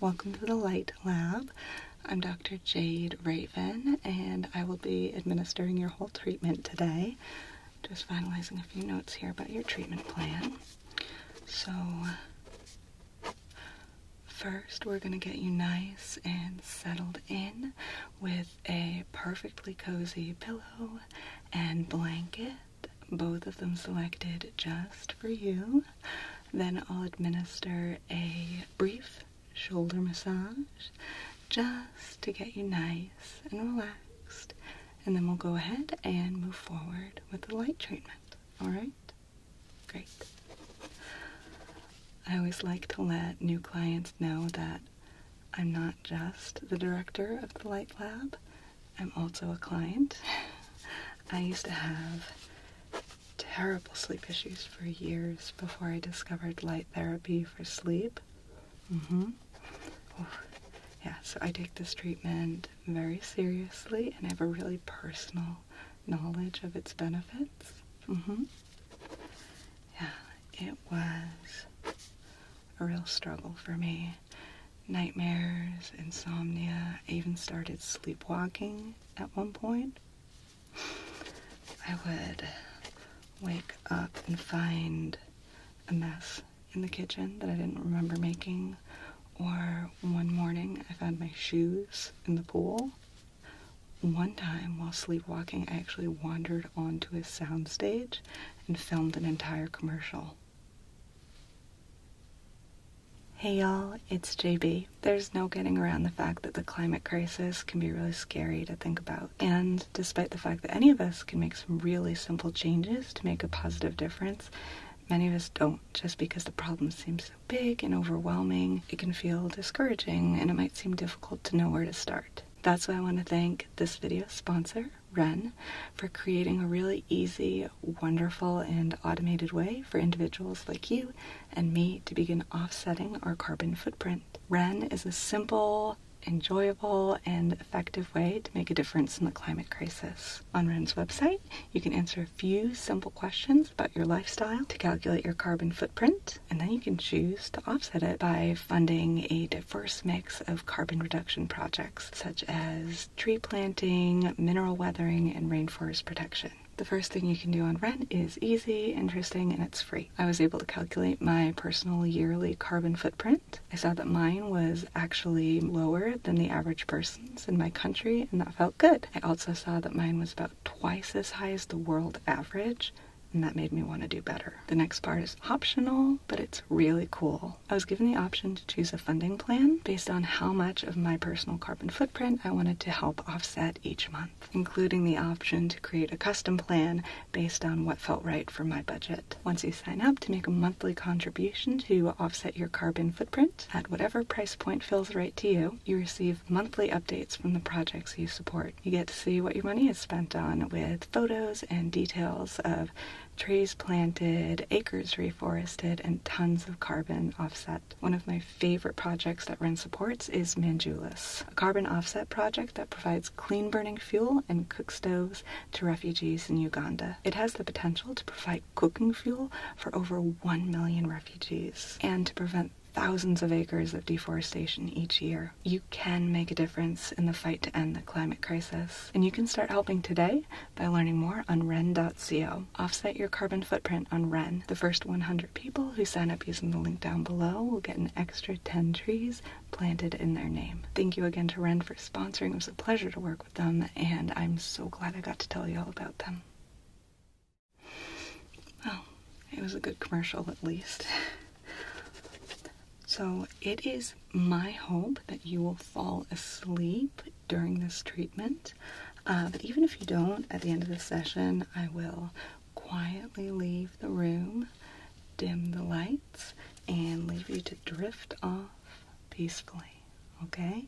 Welcome to the Light Lab. I'm Dr. Jade Raven, and I will be administering your whole treatment today. Just finalizing a few notes here about your treatment plan. So, first, we're going to get you nice and settled in with a perfectly cozy pillow and blanket, both of them selected just for you. Then I'll administer a brief shoulder massage just to get you nice and relaxed, and then we'll go ahead and move forward with the light treatment. All right, great. I always like to let new clients know that I'm not just the director of the Light Lab, I'm also a client. I used to have terrible sleep issues for years before I discovered light therapy for sleep. Mm-hmm. yeah, so I take this treatment very seriously and I have a really personal knowledge of its benefits. Mm-hmm. Yeah, it was a real struggle for me. Nightmares, insomnia, even started sleepwalking at one point. I would wake up and find a mess in the kitchen that I didn't remember making, or one morning I found my shoes in the pool. One time while sleepwalking, I actually wandered onto a soundstage and filmed an entire commercial. Hey y'all, it's JB. There's no getting around the fact that the climate crisis can be really scary to think about. And despite the fact that any of us can make some really simple changes to make a positive difference, many of us don't just because the problem seems so big and overwhelming. It can feel discouraging and it might seem difficult to know where to start. That's why I want to thank this video sponsor, Ren, for creating a really easy, wonderful, and automated way for individuals like you and me to begin offsetting our carbon footprint. REN is a simple, enjoyable, and effective way to make a difference in the climate crisis. On REN's website, you can answer a few simple questions about your lifestyle to calculate your carbon footprint, and then you can choose to offset it by funding a diverse mix of carbon reduction projects such as tree planting, mineral weathering, and rainforest protection the first thing you can do on rent is easy, interesting, and it's free. I was able to calculate my personal yearly carbon footprint. I saw that mine was actually lower than the average person's in my country, and that felt good. I also saw that mine was about twice as high as the world average, and that made me want to do better. The next part is optional, but it's really cool. I was given the option to choose a funding plan based on how much of my personal carbon footprint I wanted to help offset each month including the option to create a custom plan based on what felt right for my budget. Once you sign up to make a monthly contribution to offset your carbon footprint at whatever price point feels right to you, you receive monthly updates from the projects you support. You get to see what your money is spent on with photos and details of trees planted, acres reforested, and tons of carbon offset one of my favorite projects that RIN supports is Manjulis, a carbon offset project that provides clean burning fuel and cook stoves to refugees in Uganda. It has the potential to provide cooking fuel for over 1 million refugees and to prevent thousands of acres of deforestation each year. You can make a difference in the fight to end the climate crisis. And you can start helping today by learning more on REN.co. Offset your carbon footprint on REN the first 100 people who sign up using the link down below will get an extra 10 trees planted in their name. Thank you again to Ren for sponsoring. It was a pleasure to work with them, and I'm so glad I got to tell you all about them. Well, it was a good commercial at least. So, it is my hope that you will fall asleep during this treatment. Uh, but even if you don't, at the end of the session, I will quietly leave the room, dim the lights, and leave you to drift off peacefully. Okay?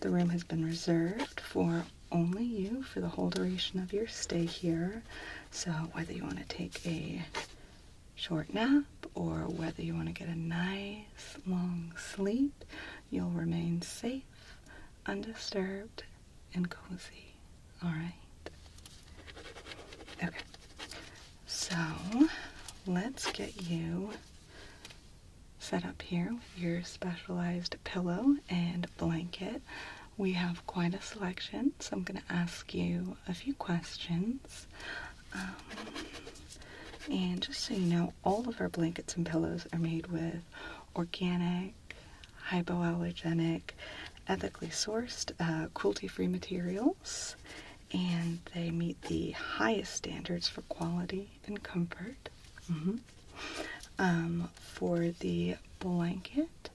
The room has been reserved for only you for the whole duration of your stay here. So, whether you want to take a short nap or whether you want to get a nice long sleep, You'll remain safe, undisturbed, and cozy. Alright? Okay. So let's get you set up here with your specialized pillow and blanket. We have quite a selection, so I'm going to ask you a few questions. Um, and just so you know, all of our blankets and pillows are made with organic, hypoallergenic, ethically sourced, uh, cruelty free materials, and they meet the highest standards for quality and comfort. Mm-hmm. Um, for the blanket,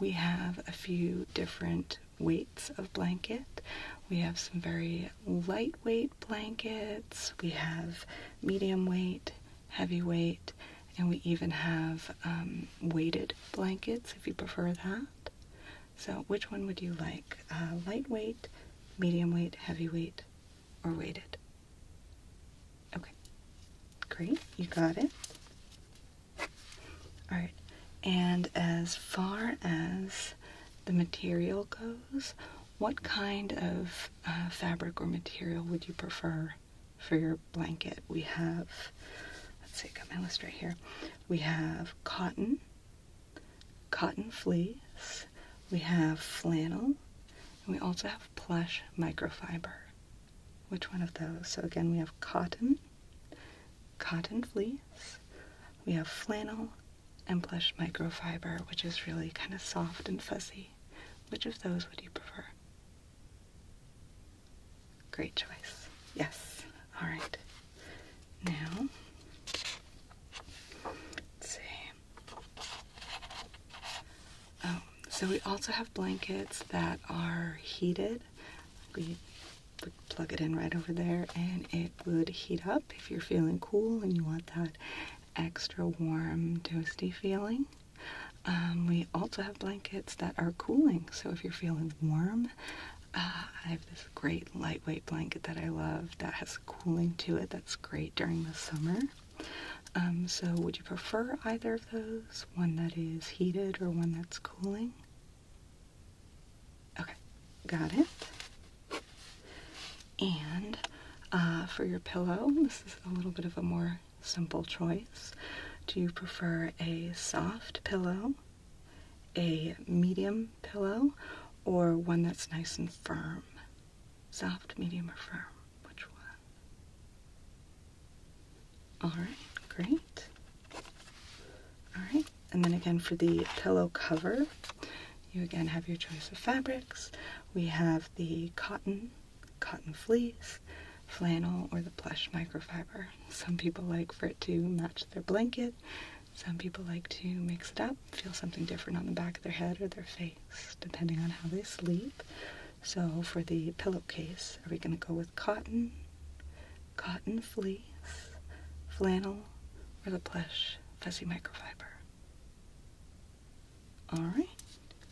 we have a few different weights of blanket. We have some very lightweight blankets, we have medium weight, heavyweight, and we even have um, weighted blankets if you prefer that. So, which one would you like? Uh, lightweight, medium weight, heavyweight, or weighted? Okay, great, you got it. Alright, and as far as the material goes, what kind of uh, fabric or material would you prefer for your blanket. We have, let's see, got my list right here. We have cotton, cotton fleece, we have flannel, and we also have plush microfiber. Which one of those? So again, we have cotton, cotton fleece, we have flannel, and plush microfiber, which is really kind of soft and fuzzy. Which of those would you prefer? Great choice. Yes. All right. Now, see. Oh, so we also have blankets that are heated. We would plug it in right over there and it would heat up if you're feeling cool and you want that extra warm, toasty feeling. Um, we also have blankets that are cooling, so if you're feeling warm, uh, I have this great lightweight blanket that I love that has cooling to it that's great during the summer. Um, so, would you prefer either of those? One that is heated or one that's cooling? Okay, got it. And uh, for your pillow, this is a little bit of a more simple choice. Do you prefer a soft pillow, a medium pillow, or one that's nice and firm? Soft, medium, or firm? Which one? Alright, great. Alright, and then again for the pillow cover, you again have your choice of fabrics. We have the cotton cotton fleece, flannel, or the plush microfiber. Some people like for it to match their blanket. Some people like to mix it up, feel something different on the back of their head or their face, depending on how they sleep. So for the pillowcase, are we going to go with cotton, cotton fleece, flannel, or the plush fuzzy microfiber? All right,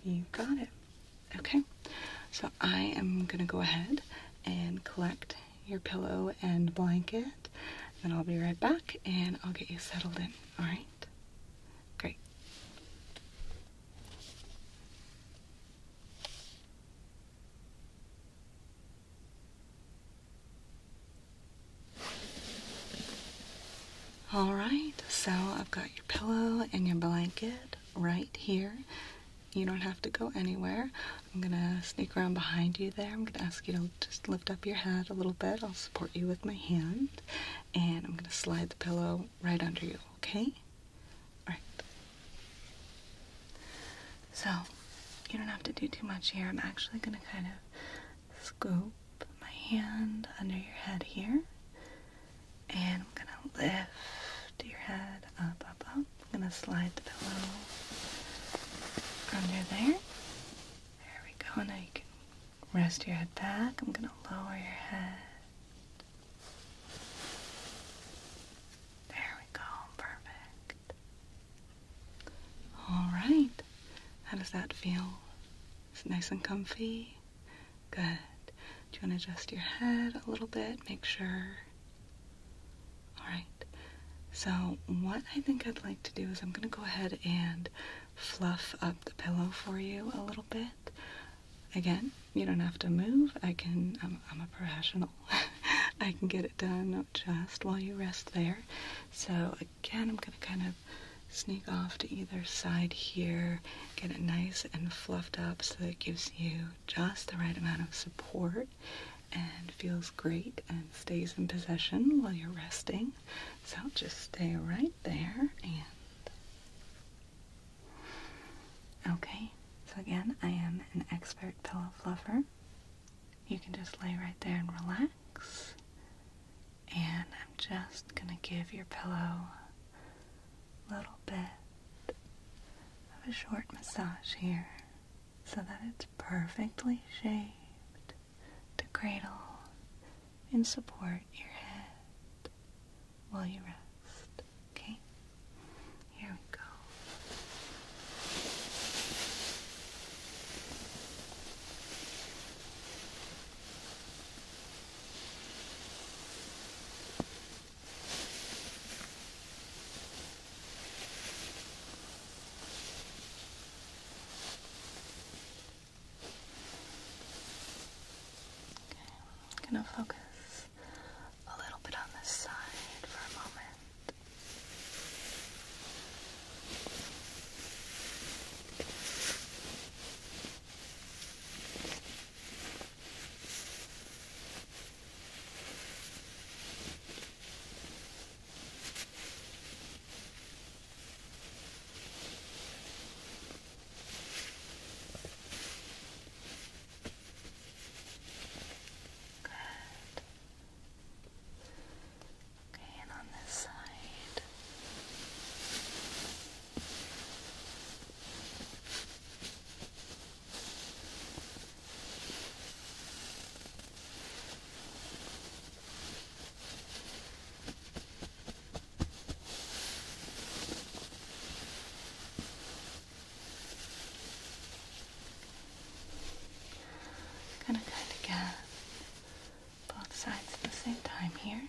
you got it. Okay, so I am gonna go ahead and collect your pillow and blanket, then I'll be right back and I'll get you settled in. All right, great. All right, so I've got pillow and your blanket right here. You don't have to go anywhere. I'm gonna sneak around behind you there. I'm gonna ask you to just lift up your head a little bit. I'll support you with my hand, and I'm gonna slide the pillow right under you, okay? All right. So, you don't have to do too much here. I'm actually gonna kind of scoop my hand under your head here and I'm going to lift your head up, up, up. I'm going to slide the pillow under there. There we go. Now you can rest your head back. I'm going to lower your head. There we go. Perfect. All right. How does that feel? It's nice and comfy. Good. Do you want to adjust your head a little bit? Make sure. All right. So, what I think I'd like to do is I'm going to go ahead and fluff up the pillow for you a little bit. Again, you don't have to move. I can, I'm, a professional. I can get it done just while you rest there. So, again, I'm going to kind of sneak off to either side here Get it nice and fluffed up so it gives you just the right amount of support and feels great and stays in possession while you're resting. So just stay right there and. Okay, so again, I am an expert pillow fluffer. You can just lay right there and relax. And I'm just gonna give your pillow little bit of a short massage here so that it's perfectly shaped to cradle and support your head while you rest. Okay? Here we go. I'm gonna focus a little bit on this side for a moment. Okay. Good. Okay, and on this side. I'm gonna kind of get both sides at the same time here.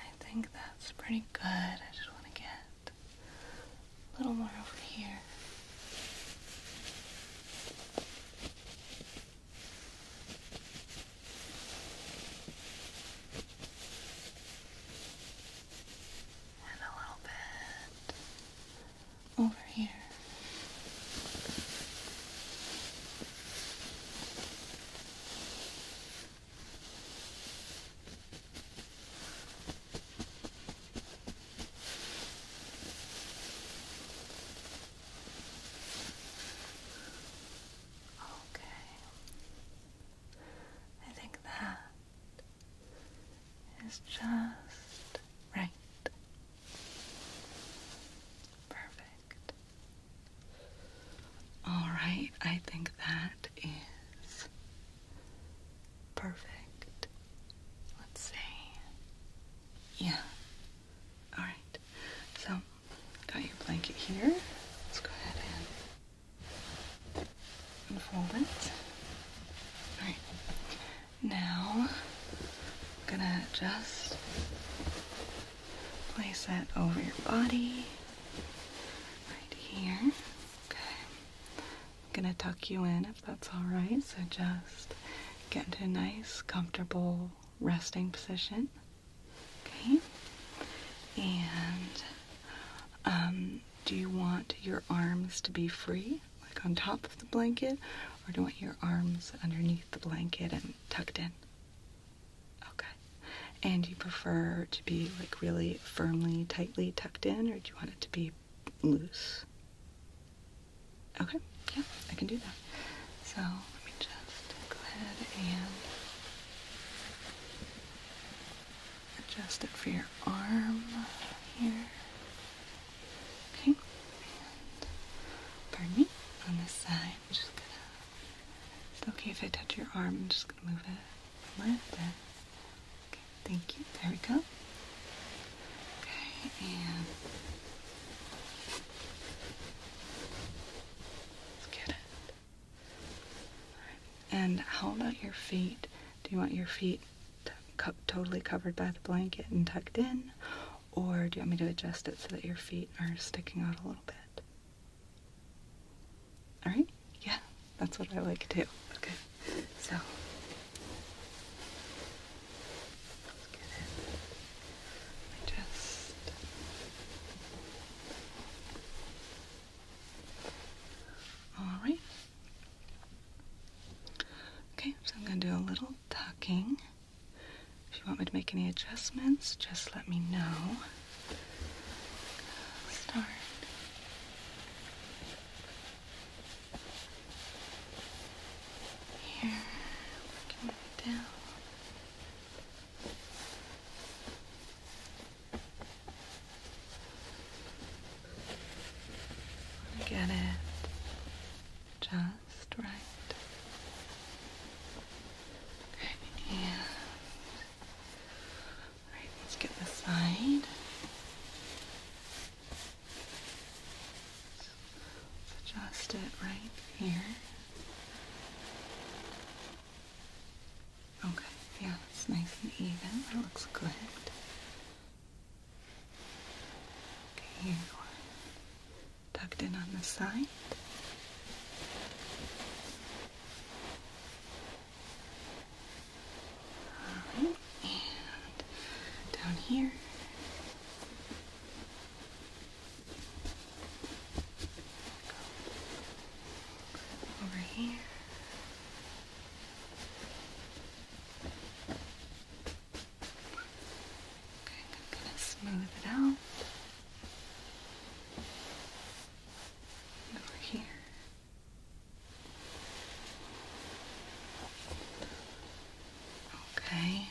I think that's pretty good. I just want to get a little more over here. And a little bit over here. Okay. I think that is just right. Perfect. All right, I think that is perfect. Let's see. Yeah. All right. So, got your blanket here. Let's go ahead and unfold it. All right. Now, I'm gonna just place that over your body, right here. Okay. I'm gonna tuck you in if that's all right. So just get into a nice, comfortable resting position. Okay. And um, do you want your arms to be free, like on top of the blanket, or do you want your arms underneath the blanket and tucked in? Okay. And you prefer to be like really firmly, tightly tucked in, or do you want it to be loose? Okay, yeah, I can do that. So let me just go ahead and adjust it for your arm here. Okay, pardon me, on this side, i okay if I touch your arm? I'm just gonna move it left. And, okay, thank you. There we go. Okay, and. Let's get it. And how about your feet? Do you want your feet totally covered by the blanket and tucked in? Or do you want me to adjust it so that your feet are sticking out a little bit? Alright? Yeah, that's what I like too. Okay, so. Let's get it. just all right. Okay, so I'm going to do a little tucking. If you want me to make any adjustments, just let me know. Start. Here, down. Get it just right. Okay, all right, let's get the side. adjust it right here. Okay, yeah, that's nice and even. That looks good. Okay, here we go. Tucked in on the side. Alright, and down here. Over here. Okay, I'm going to smooth it out. Over here. Okay.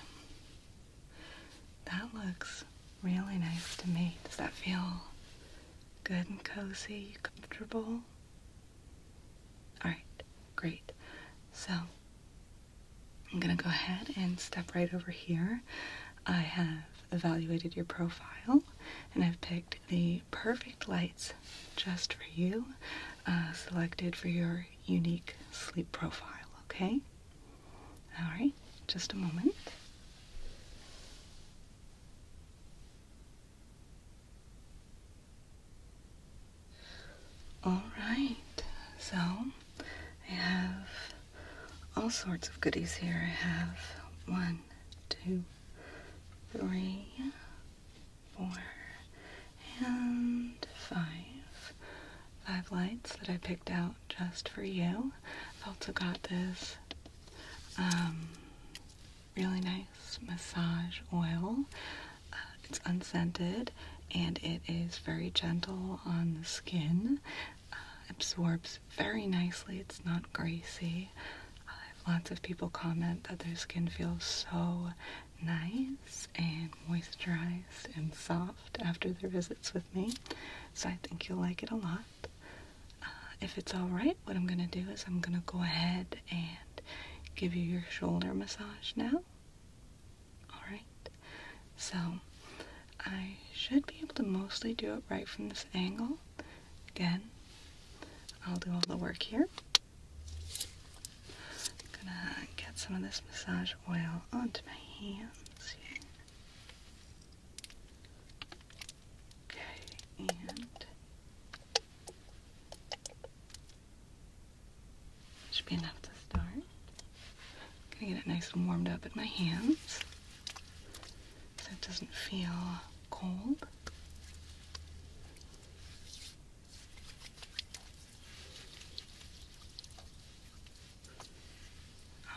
That looks really nice to me. Does that feel good and cozy, comfortable? Alright, great. So, I'm gonna go ahead and step right over here. I have evaluated your profile and I've picked the perfect lights just for you, uh, selected for your unique sleep profile, okay? All right, just a moment. All right, so I have all sorts of goodies here. I have one, two, three, four, and five. Five lights that I picked out just for you. I've also got this um, really nice massage oil. Uh, it's unscented and it is very gentle on the skin. Uh, absorbs very nicely. It's not greasy. lots of people comment that their skin feels so nice and moisturized and soft after their visits with me. So I think you'll like it a lot. Uh, if it's alright, what I'm going to do is I'm going to go ahead and give you your shoulder massage now. Alright? So, I should be able to mostly do it right from this angle. Again, I'll do all the work here. I'm gonna get some of this massage oil onto my hands Okay, and should be enough to start. Gonna get it nice and warmed up in my hands so it doesn't feel cold.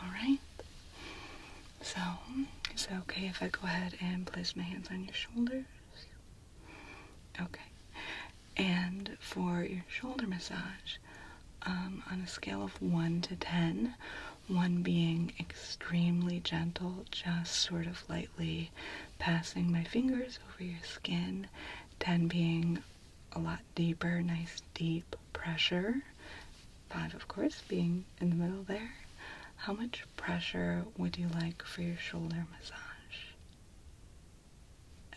Alright. So, is it okay if I go ahead and place my hands on your shoulders? Okay. And for your shoulder massage, um, on a scale of 1 to 10, 1 being extremely gentle, just sort of lightly passing my fingers over your skin, 10 being a lot deeper, nice deep pressure, five of course being in the middle there, how much pressure would you like for your shoulder massage?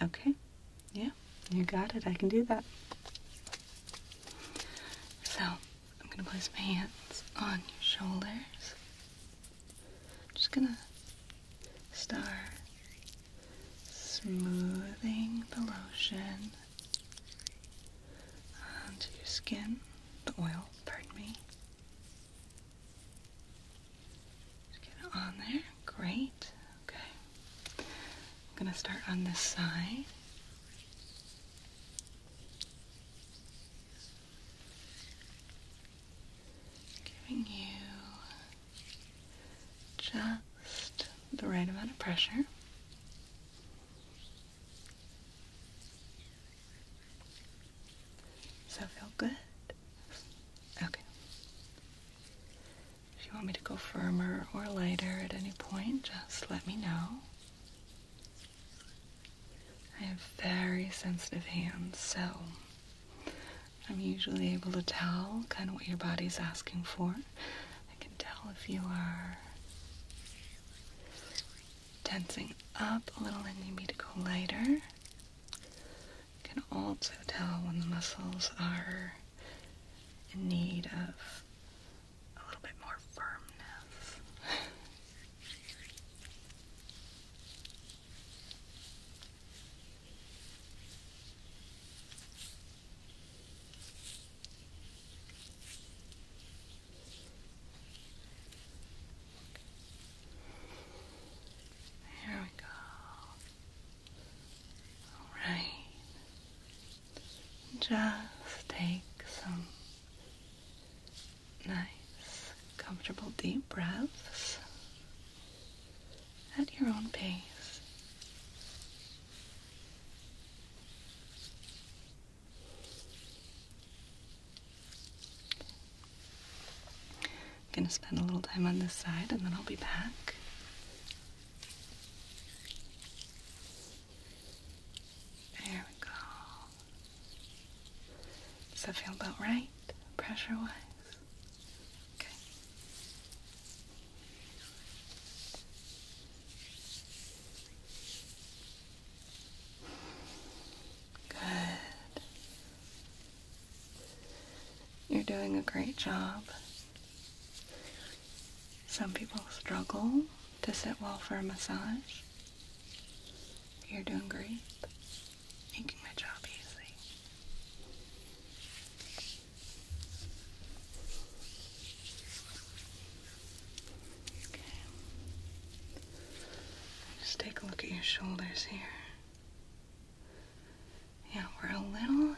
Okay, yeah, you got it. I can do that. So, I'm going to place my hands on your shoulders. just going to start smoothing the lotion onto your skin, the oil, pardon me. get it on there. Great. Okay. I'm going to start on this side. Giving you just the right amount of pressure. Does that feel good? Okay. If you want me to go firmer or lighter at any point, just let me know. I have very sensitive hands, so I'm usually able to tell kind of what your body's asking for. I can tell if you are tensing up a little and you need to go lighter. You can also tell when the muscles are in need of a little bit more firmness. There we go. All right. Just take some nice, comfortable deep breaths at your own pace. I'm gonna spend a little time on this side and then I'll be back. There we go. Does that feel about right, pressure wise? Okay. Good. You're doing a great job. Some people struggle to sit well for a massage. You're doing great, making my job easy. Just take a look at your shoulders here. Yeah, we're a little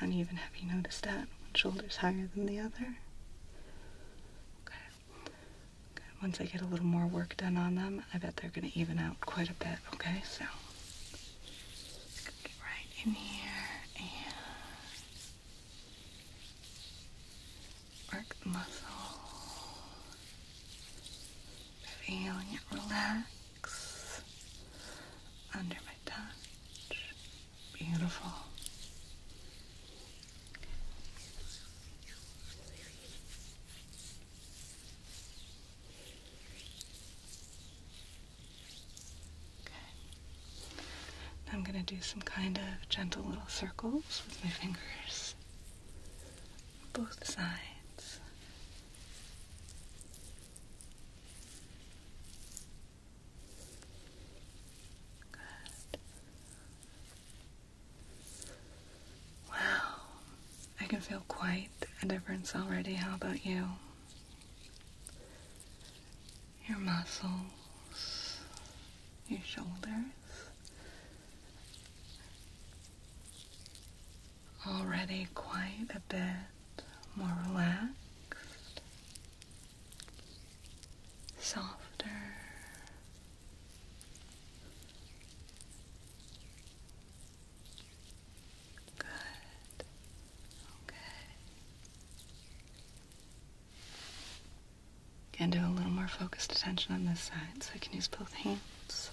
uneven. Have you noticed that? One shoulder's higher than the other. Okay. Once I get a little more work done on them, I bet they're going to even out quite a bit. Okay, so. Get right in here Work the muscle. Feeling it relax under my touch. Beautiful. Okay. I'm going to do some kind of gentle little circles with my fingers. Both sides. Good. Wow. I can feel quite a difference already. How about you? Your muscles your shoulders. Already quite a bit more relaxed, softer. Good. Okay. Can do a little more focused attention on this side, so I can use both hands.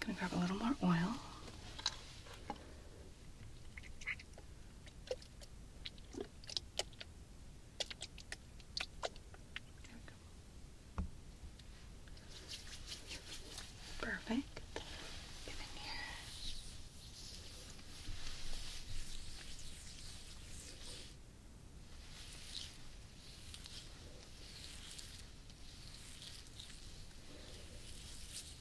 gonna grab a little more oil. There we go. Perfect. Get in here. Good.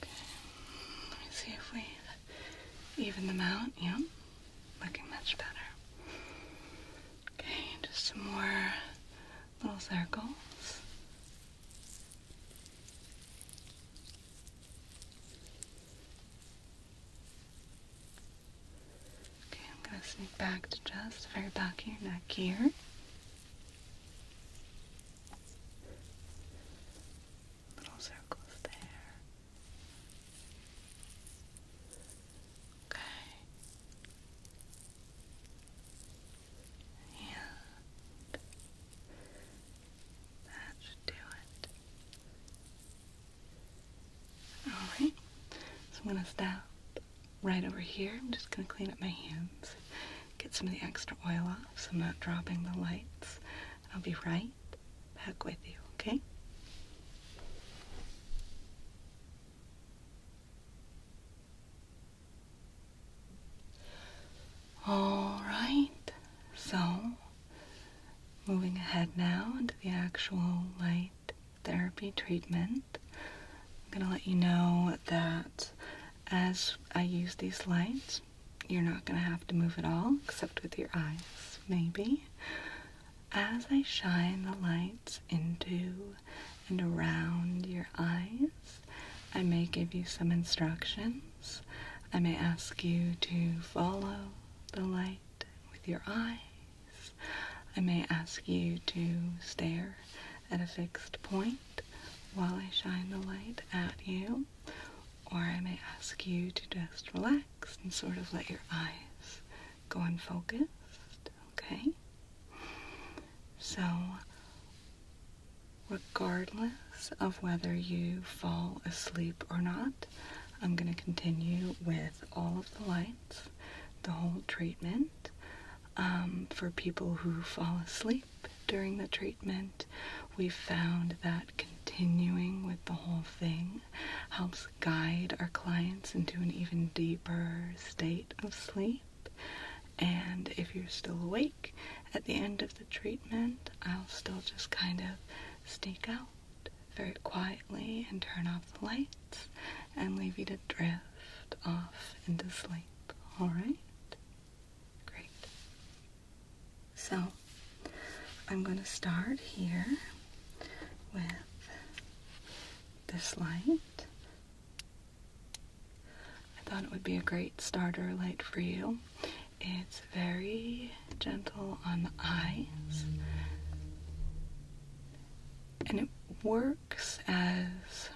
Let me see if we even them out. Yep. Looking much better. Okay, just some more little circles. Okay, I'm gonna sneak back to just very back here, neck here. Little circles there. Okay. And that should do it. Alright, so I'm going to stop right over here. I'm just going to clean up my hands, get some of the extra oil off so I'm not dropping the lights. I'll be right back with you, okay? Alright, so moving ahead now into the actual light therapy treatment. I'm gonna let you know that as I use these lights, you're not gonna have to move at all except with your eyes, maybe. As I shine the lights into and around your eyes, I may give you some instructions. I may ask you to follow the light with your eye I may ask you to stare at a fixed point while I shine the light at you, or I may ask you to just relax and sort of let your eyes go unfocused, okay? So, regardless of whether you fall asleep or not, I'm going to continue with all of the lights, the whole treatment. Um, for people who fall asleep during the treatment. We found that continuing with the whole thing helps guide our clients into an even deeper state of sleep. And if you're still awake at the end of the treatment, I'll still just kind of sneak out very quietly and turn off the light and leave you to drift off into sleep. All right? Great. So, I'm going to start here with this light. I thought it would be a great starter light for you. It's very gentle on the eyes. And it works as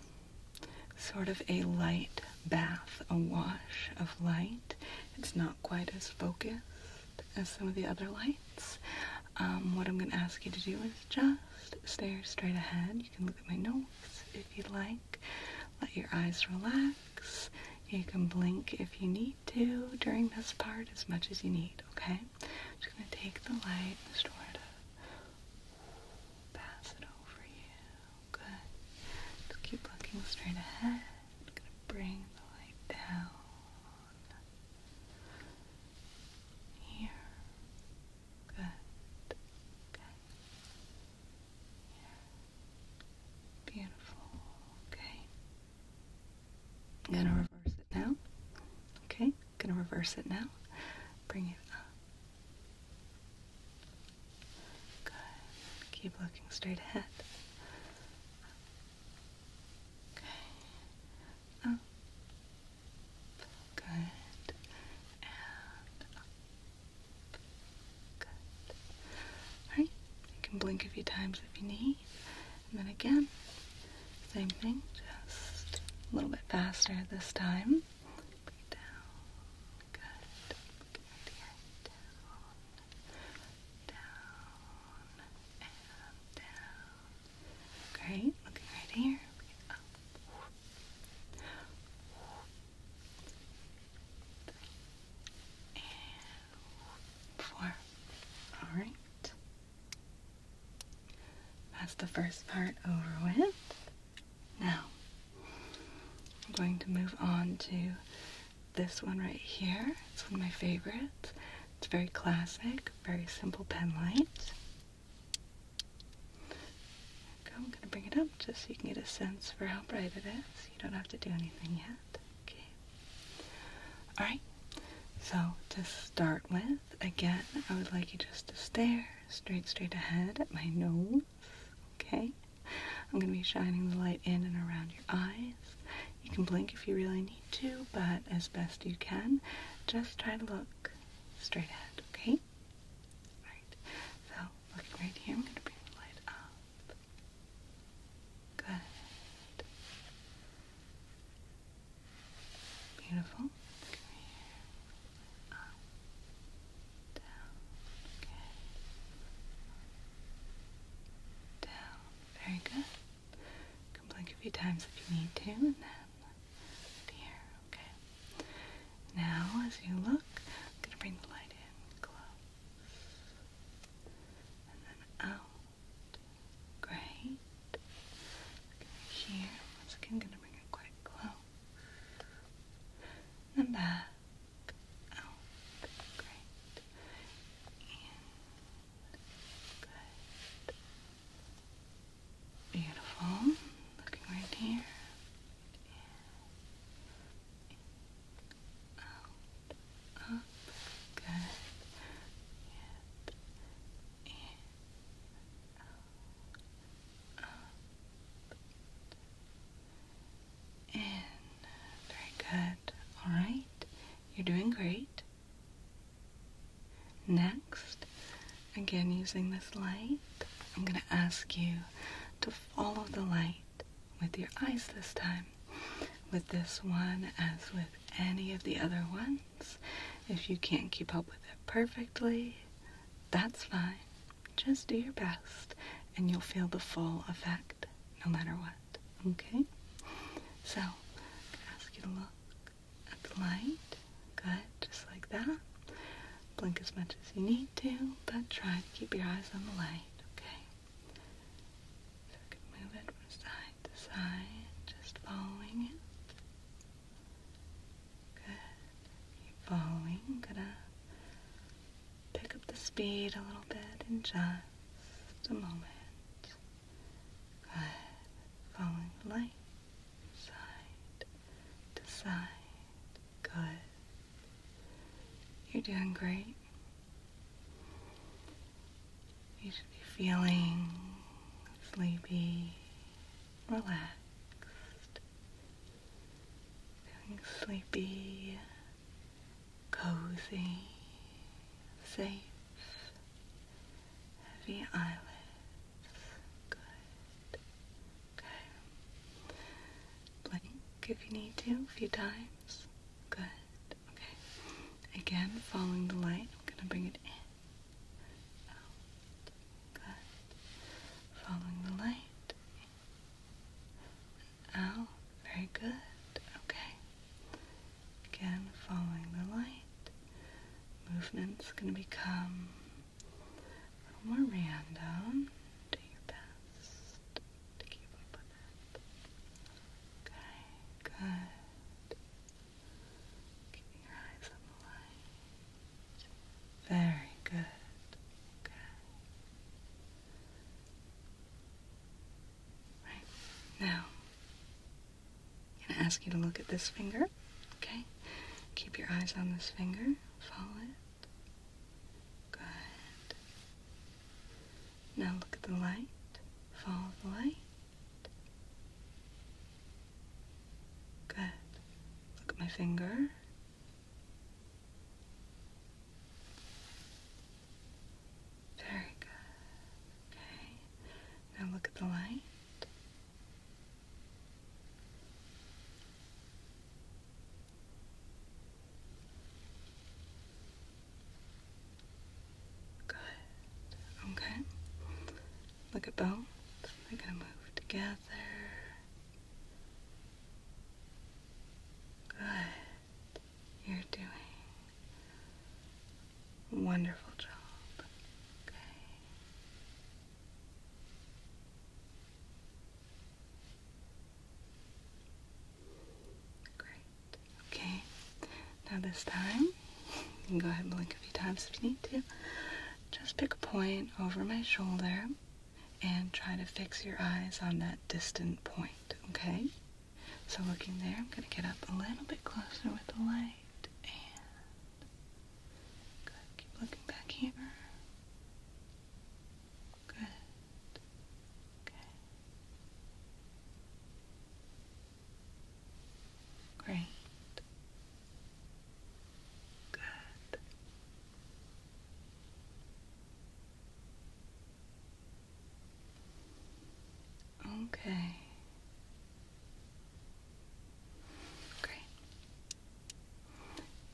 sort of a light bath, a wash of light. It's not quite as focused as some of the other lights. Um, what I'm going to ask you to do is just stare straight ahead. You can look at my notes if you'd like. Let your eyes relax. You can blink if you need to during this part as much as you need, okay? just going to take the light and sort of Pass it over you. Good. keep looking straight ahead. I'm gonna bring the light down here. Good. Okay. Beautiful. Okay. I'm gonna reverse it now. Okay. Gonna reverse it now. Bring it up. Good. Keep looking straight ahead. Okay. Up. Good. And up. Good. Alright. You can blink a few times if you need. And then again. Same thing, just a little bit faster this time. Down. Good. Down. Down. And down. Great. Looking right here. Up. And four. All right. That's the first part over with. Now, I'm going to move on to this one right here. It's one of my favorites. It's very classic, very simple pen light. Okay, I'm going to bring it up just so you can get a sense for how bright it is. You don't have to do anything yet. Okay. Alright, so to start with, Again, I would like you just to stare straight, straight ahead at my nose. Okay? I'm going to be shining the light in and around your eyes. You can blink if you really need to, but as best you can, just try to look straight ahead, okay? Alright, so looking right here, I'm going to bring the light up. Good. Beautiful. Up. Down. Good. Down. Very good. blink a few times if you need to, and then here. Okay. Now, as you look, I'm gonna bring the light in close, and then out. Great here. Once again, gonna bring it quite close. And back. Out. Great. In. Good. Beautiful. Looking right here. Out. Up. Good. In. Out up, Very good. All right. You're doing great. Next, again using this light, I'm going to ask you to follow the light with your eyes this time. With this one, as with any of the other ones, if you can't keep up with it perfectly, that's fine. Just do your best and you'll feel the full effect no matter what. Okay? So, I'm gonna ask you to look at the light. Good, just like that. Blink as much as you need to, but try to keep your eyes on the light, okay? So I can move it from side to side, just following it. Good. Keep following. i gonna pick up the speed a little bit in just a moment. Good. Following light. Side to side. Good. You're doing great. You should be feeling sleepy relaxed, feeling sleepy, cozy, safe, heavy eyelids, good, okay, blink if you need to, a few times, good, okay, again following the light, I'm going to bring it in out. Good. Following the light. out. Very good. Okay. Again, following the light. Movement's going to become a little more random. Do your best to keep up with it. Okay, good. Keeping your eyes on the light. Very good. Right. Now, I'm going to ask you to look at this finger, okay? Keep your eyes on this finger. Follow it. Good. Now look at the light. Follow the light. Good. Look at my finger. Very good. Okay. Now look at the light. Good. Okay. Look at both. They're going to move together. Good. You're doing wonderful job. Okay. Great. Okay. Now this time, you can go ahead and blink a few times if you need to. Just pick a point over my shoulder and try to fix your eyes on that distant point, okay? So looking there, I'm going to get up a little bit closer with the light and Keep looking back here. Good. Okay. Great. Good. Okay. Great.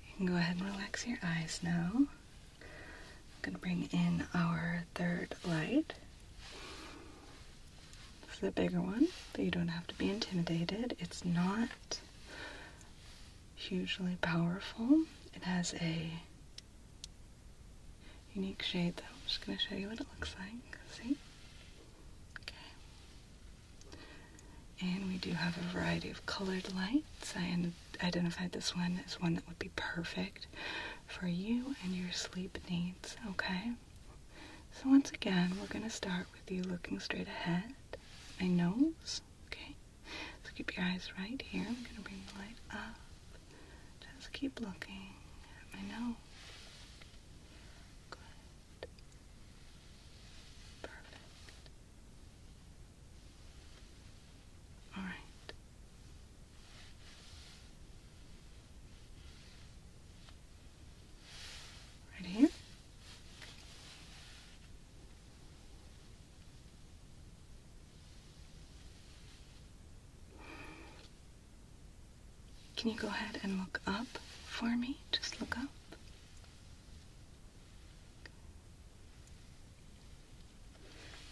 You can go ahead and relax your eyes now. I'm going to bring in our third light. It's the bigger one, but you don't have to be intimidated. It's not hugely powerful. It has a unique shade that I'm just going to show you what it looks like. See? Okay. And we do have a variety of colored lights. I identified this one as one that would be perfect for you and your sleep needs, okay? So once again, we're going to start with you looking straight ahead my nose. Okay, so keep your eyes right here. I'm gonna bring the light up. Just keep looking at my nose. Good. Perfect. All right. Right can you go ahead and look up for me? Just look up.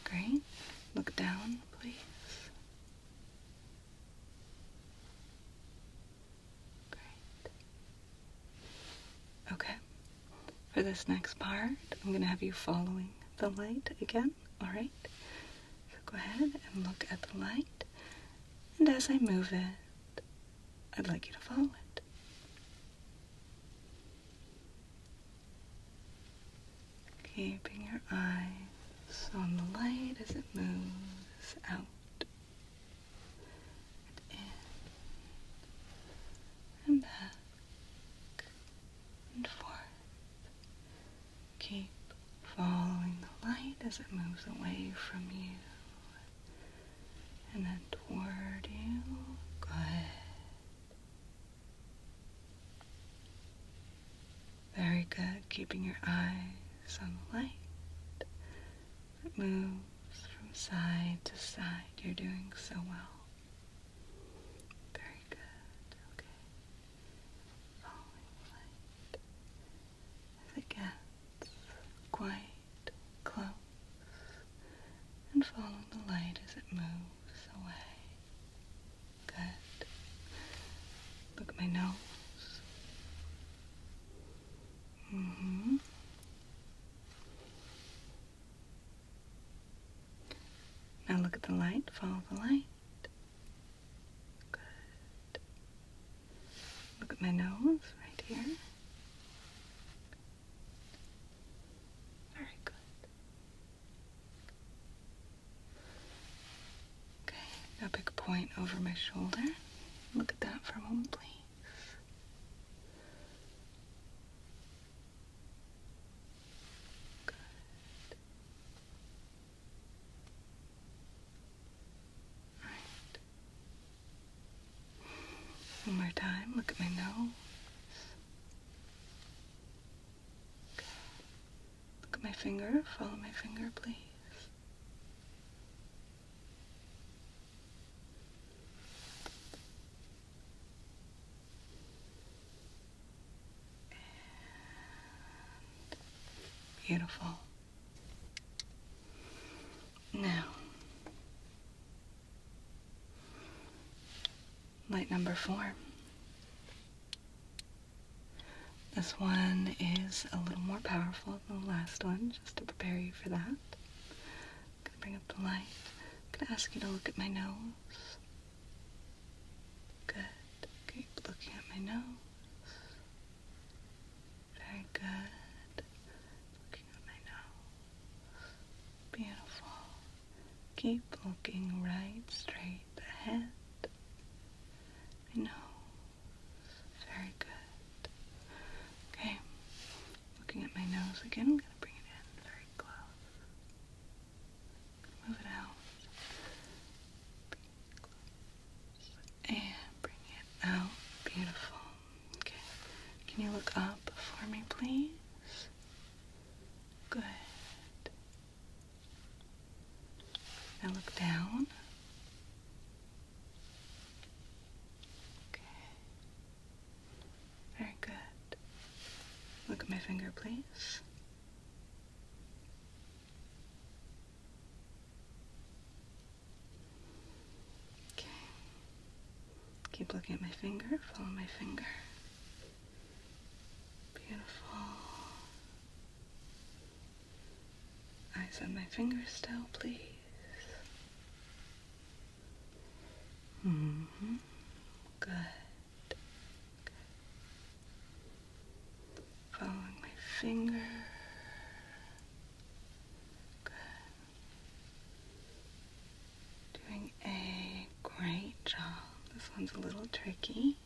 Great. Look down, please. Great. Okay. For this next part, I'm going to have you following the light again, alright? So go ahead and look at the light, and as I move it, I'd like you to follow it. Keeping your eyes on the light as it moves out and in and back and forth. Keep following the light as it moves away from you and then toward you. Good. Very good. Keeping your eyes on the light it moves from side to side. You're doing so well. Very good. Okay. Following light as it quite close. And follow the light as it moves away. Good. Look at my nose. Mm-hmm. Now look at the light, follow the light. Good. Look at my nose right here. Very good. Okay, now point over my shoulder. Look at that for a moment, please. One more time. Look at my nose. Look at my finger. Follow my finger, please beautiful. Now, light number four. This one is a little more powerful than the last one, just to prepare you for that. I'm gonna bring up the light. gonna ask you to look at my nose. Good. Keep looking at my nose. Very good. Looking at my nose. Beautiful. Keep looking right straight ahead. My nose. Very good. Okay. Looking at my nose again, I'm gonna bring it in very close. Move it out. And bring it out. Beautiful. Okay. Can you look up for me, please? Good. Now look down. Okay. Very good. Look at my finger, please. Okay. Keep looking at my finger. Follow my finger. Beautiful. Eyes on my finger still, please. Good. Following my finger. Good. Doing a great job. This one's a little tricky.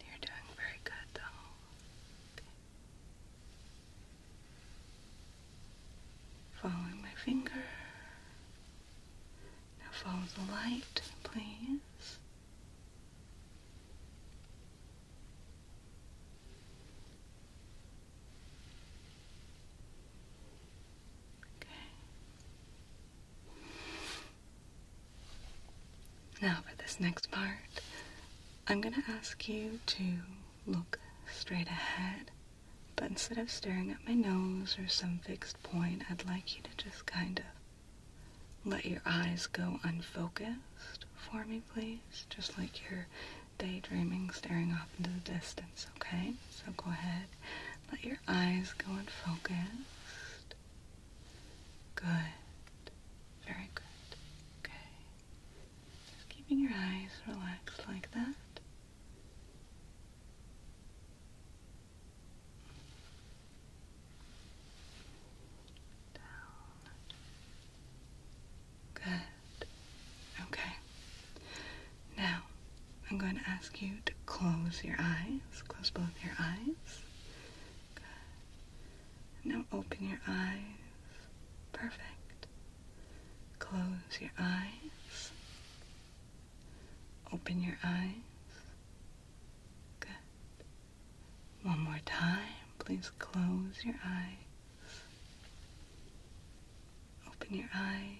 You're doing very good though. Following my finger. Now follow the light, please. Okay. Now for this next part, I'm going to ask you to look straight ahead, but instead of staring at my nose or some fixed point, I'd like you to just kind of let your eyes go unfocused for me, please. Just like you're daydreaming, staring off into the distance, okay? So go ahead, let your eyes go unfocused. Good. Very good. Okay keeping your eyes relaxed like that. Down. Good. Okay. Now, I'm going to ask you to close your eyes. Close both your eyes. Good. Now open your eyes. Perfect. Close your eyes. Open your eyes. Good. One more time. Please close your eyes. Open your eyes.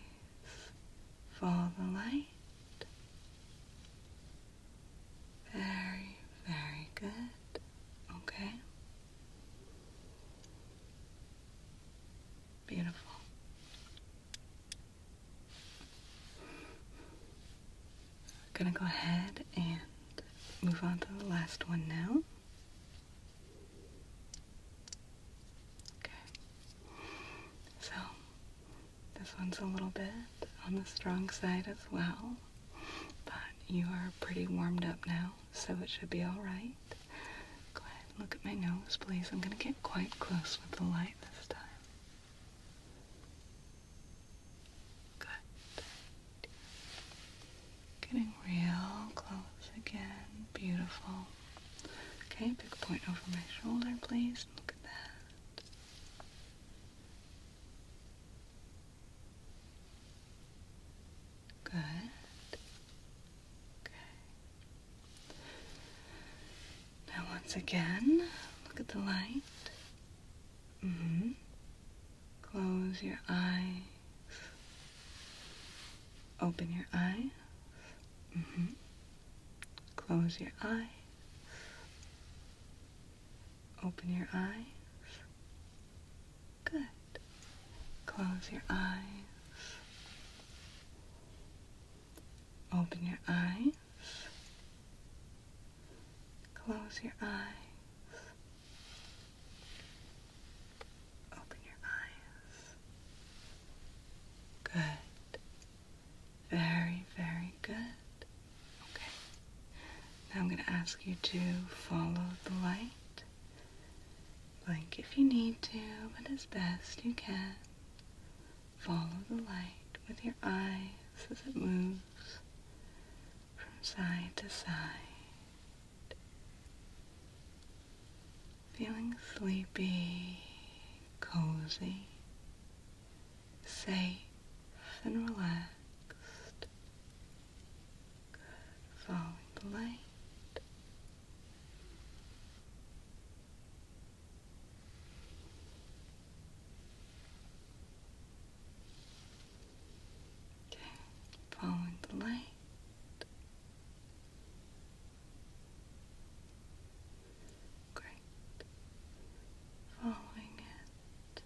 Follow the light. Very, very good. Okay. Beautiful. I'm gonna go ahead and move on to the last one now. Okay. So, this one's a little bit on the strong side as well, but you are pretty warmed up now so it should be alright. Go ahead look at my nose, please. I'm going to get quite close with the light this time. Good. Getting real close again. Beautiful. Okay, pick a point over my shoulder, please. Look at that. Good. Okay. Now, once again, look at the light. Mm-hmm. Close your eyes. Open your eyes. Mm-hmm. Close your eyes. Open your eyes. Good. Close your eyes. Open your eyes. Close your eyes. Open your eyes. Good. Very, very good. Okay. Now I'm going to ask you to follow the light. Blink if you need to, but as best you can. Follow the light with your eyes as it moves from side to side. Feeling sleepy, cozy, safe and relaxed following the light. Okay, following the light. Great. Following it.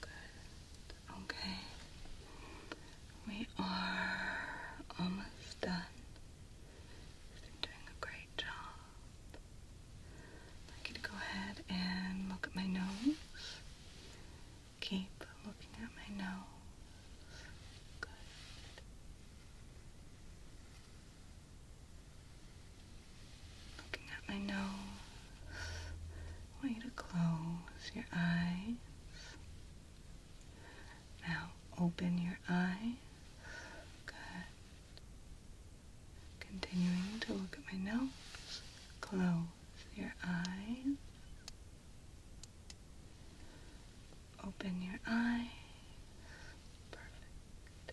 Good. Okay. We are almost done. You've been doing a great job. I'd go ahead and look at my nose. Keep looking at my nose. Good. Looking at my nose. want you to close your eyes. Now open your eyes. Good. Continuing to look at my nose. Close your eyes. Open your eyes. Perfect.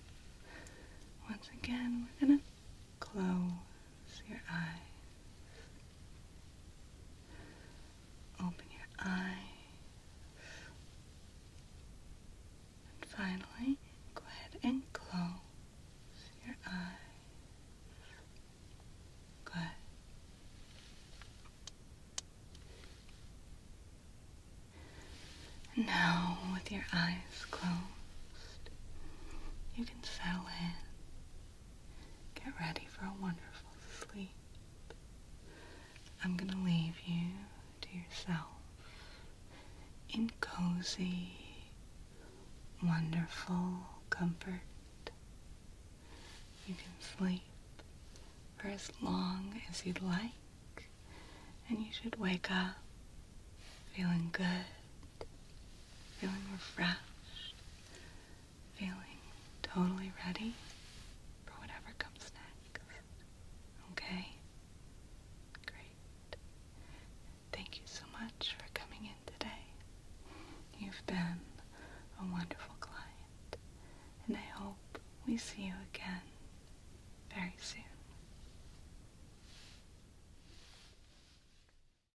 Once again, we're going to close your eyes. Open your eyes. And finally, go ahead and close your eyes. Good. Now, with your eyes closed, you can settle in. Get ready for a wonderful sleep. I'm gonna leave you to yourself in cozy, wonderful comfort. You can sleep for as long as you'd like, and you should wake up feeling good feeling refreshed, feeling totally ready for whatever comes next. Okay? Great. Thank you so much for coming in today. You've been a wonderful client, and I hope we see you again very soon.